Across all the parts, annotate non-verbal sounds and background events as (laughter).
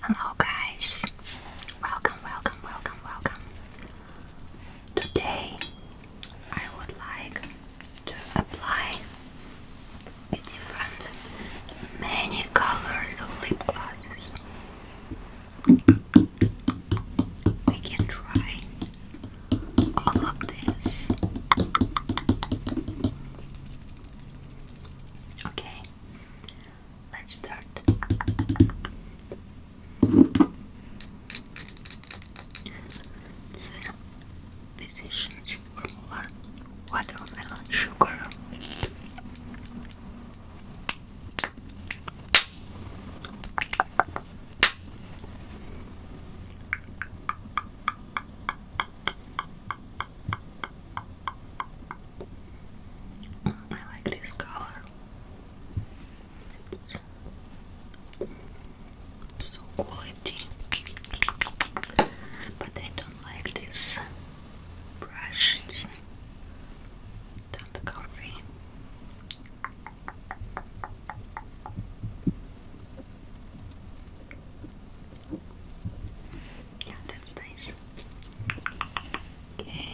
Hello guys, welcome, welcome, welcome, welcome. Today I would like to apply different many colors of lip glosses. We can try all of this. Okay, Let's start. So, this formula watermelon sugar. I like this color. so quality. But I don't like this brush. that's nice. Okay.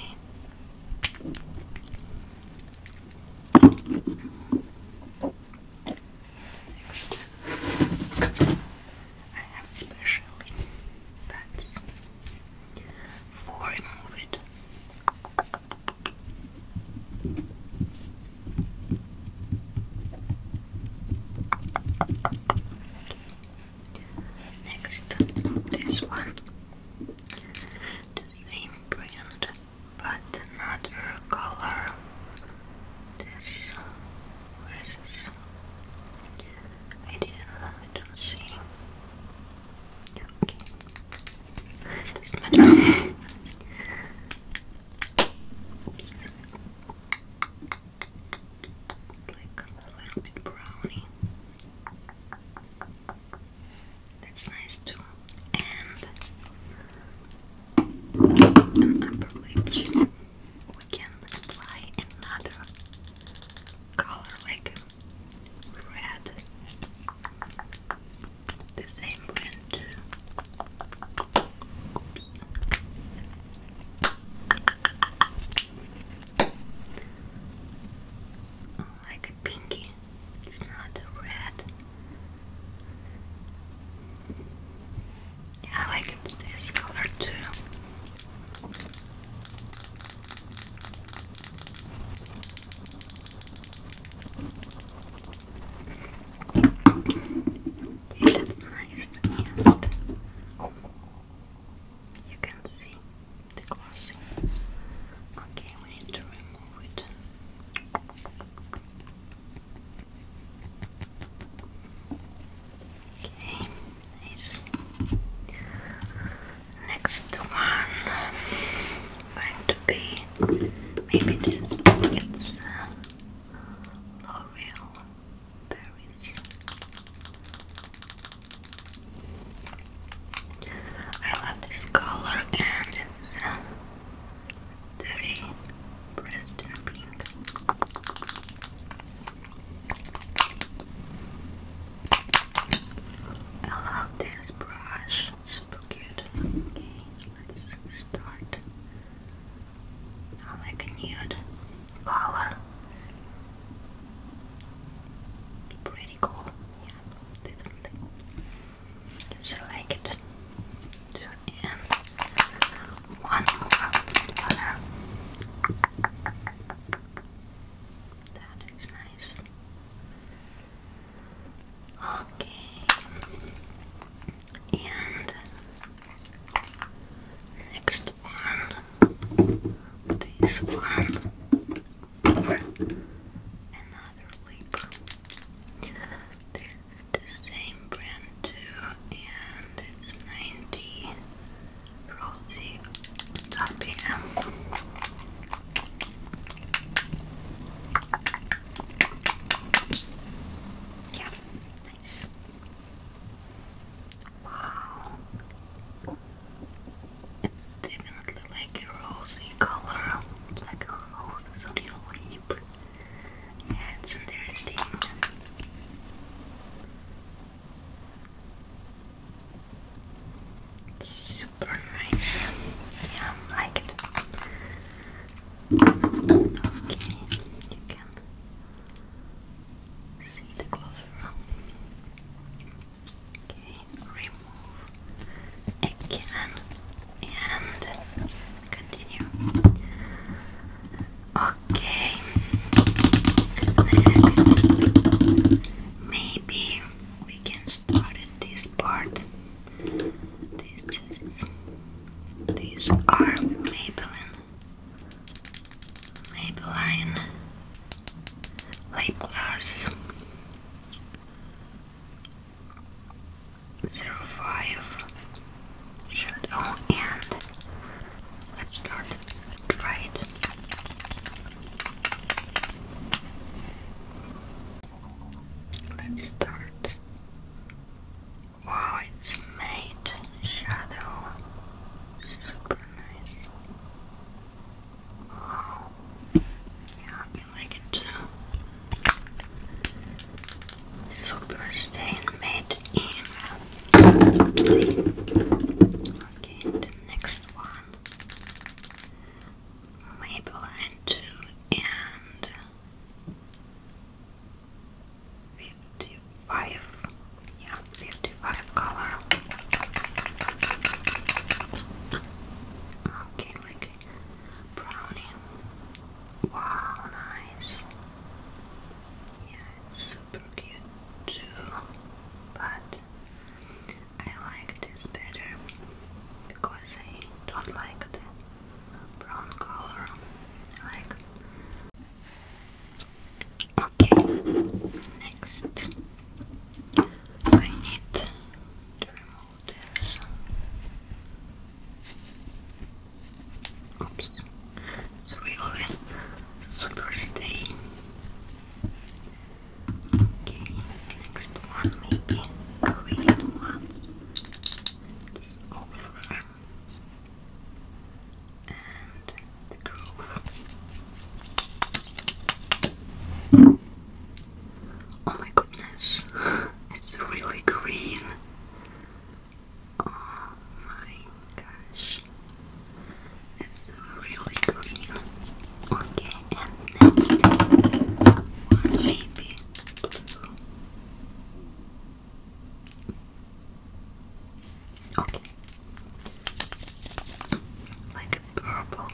Next, I have special pads for remove Next, this one, the same brand but another color. This, where is this? I didn't, I don't see. Okay, this matter. Oops like a little bit browny. That's nice too. And on upper we can apply another color like red. The same brand Oh, like a pinky. It's not red. I like this color too. It nice you can see the glossy. Okay, we need to remove it. Okay, Next one going to be maybe this. It's L'Oreal uh, I love this color and it's um, very bright I love this brush, super cute. Okay, let's start. I like nude flower. Pretty cool, yeah, definitely. So like it. and one That is nice. Okay. And next one, this one, another lip. That's the same brand too, and it's 90 Rosy RPM. Yeah, nice. Wow. It's definitely like a rosy color, like a on your lip. Yeah, it's interesting. It's super nice. Yeah, I like it. Okay, you can see the closer. Okay, remove again and continue. Okay, next, maybe we can start at this part. This is these are Maybelline. Maybelline lip gloss shadow and let's start try it let's start wow it's made shadow super nice yeah, I can like it too. Super stain made in. Okay, the next one. Maybelline 2 and 55. Yeah, 55 color. Okay, like brownie. Wow, nice. Yeah, it's super cute too. But I like this better because I don't like the brown color. like Okay, next I need to remove this. Oops, it's super stay. Okay, next one maybe green one. It's over Oh my goodness, (laughs) it's really green. Oh my gosh, it's really green. Okay, and next one maybe. Okay, like purple.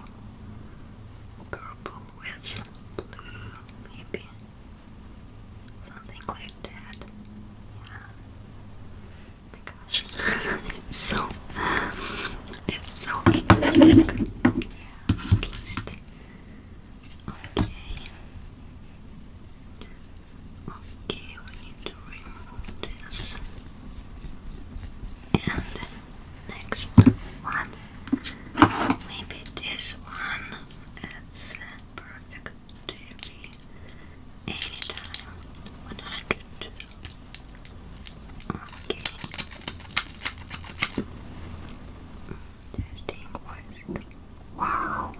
Purple with blue, maybe. Something like that. Yeah. my gosh. it's (laughs) so it's so interesting. Yeah, at least. Okay. Okay, we need to remove this. And next one. Maybe this one. It's perfect TV. Anytime. 100. Okay. Testing Wow.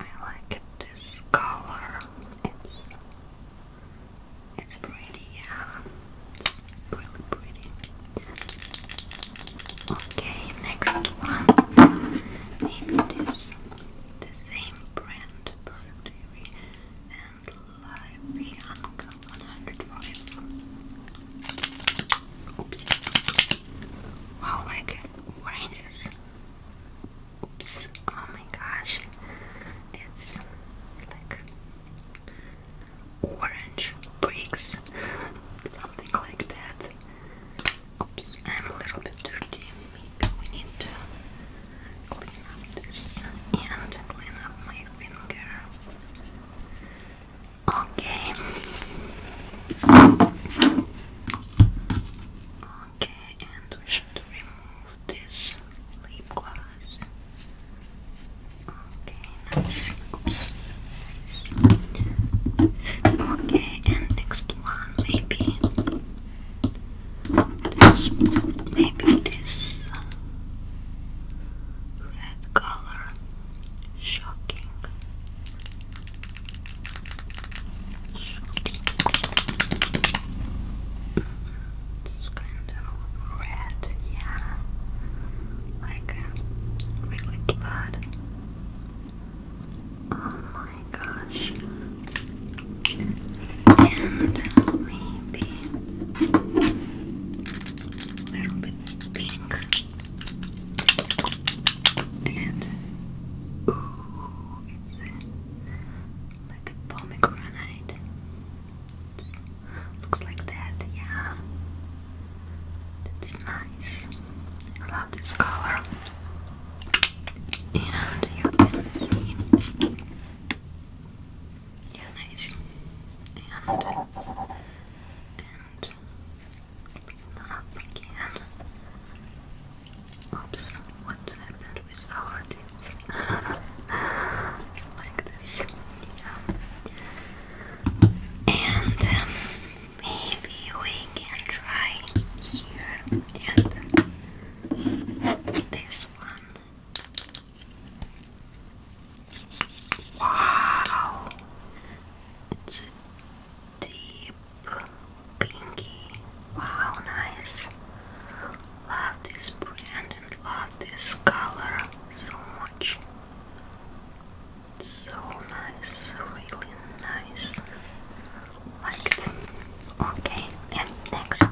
I like this color. It's it's pretty, yeah. It's really pretty. Okay, next one. Maybe this the same brand Dairy and Lively Uncle 105. Oops. Wow, like oranges. Oh my gosh it's like orange bricks, something like that. Oops, I'm a little bit dirty. we need clean up this and clean up my finger. Okay. Okay, and this lip gloss. Okay, nice. Nice. Okay, and next one maybe maybe this red color shocking. shocking it's kind of red, yeah, like uh, really blood. Oh my gosh! And maybe a little bit pink. And ooh, like a pomegranate. Looks like that, yeah. That's nice. I love this color. And you can see. Yeah, nice. And, and up again. Oops, what happened? (laughs) like this. Yeah. And um, maybe we can try here and this one. Wow! It's a deep pinky. Wow, nice love this brand and love this color so much. It's so nice, really nice. Like okay, and next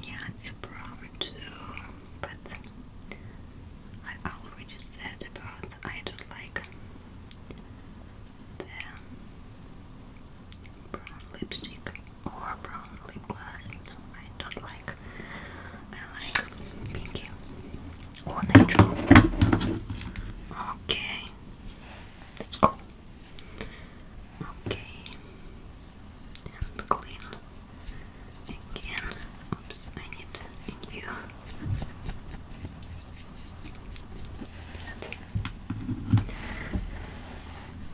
Yeah, it's brown too, but I already said about I don't like the brown lipstick or brown lip gloss. No, I don't like. I like pinky or natural. Okay, let's go. Okay, and clean again. Oops, I need a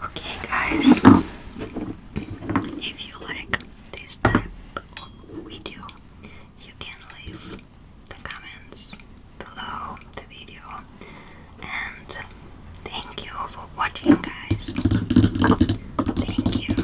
Okay, guys, if you like this type of video, you can leave the comments below the video. And thank you for watching, guys. Thank you.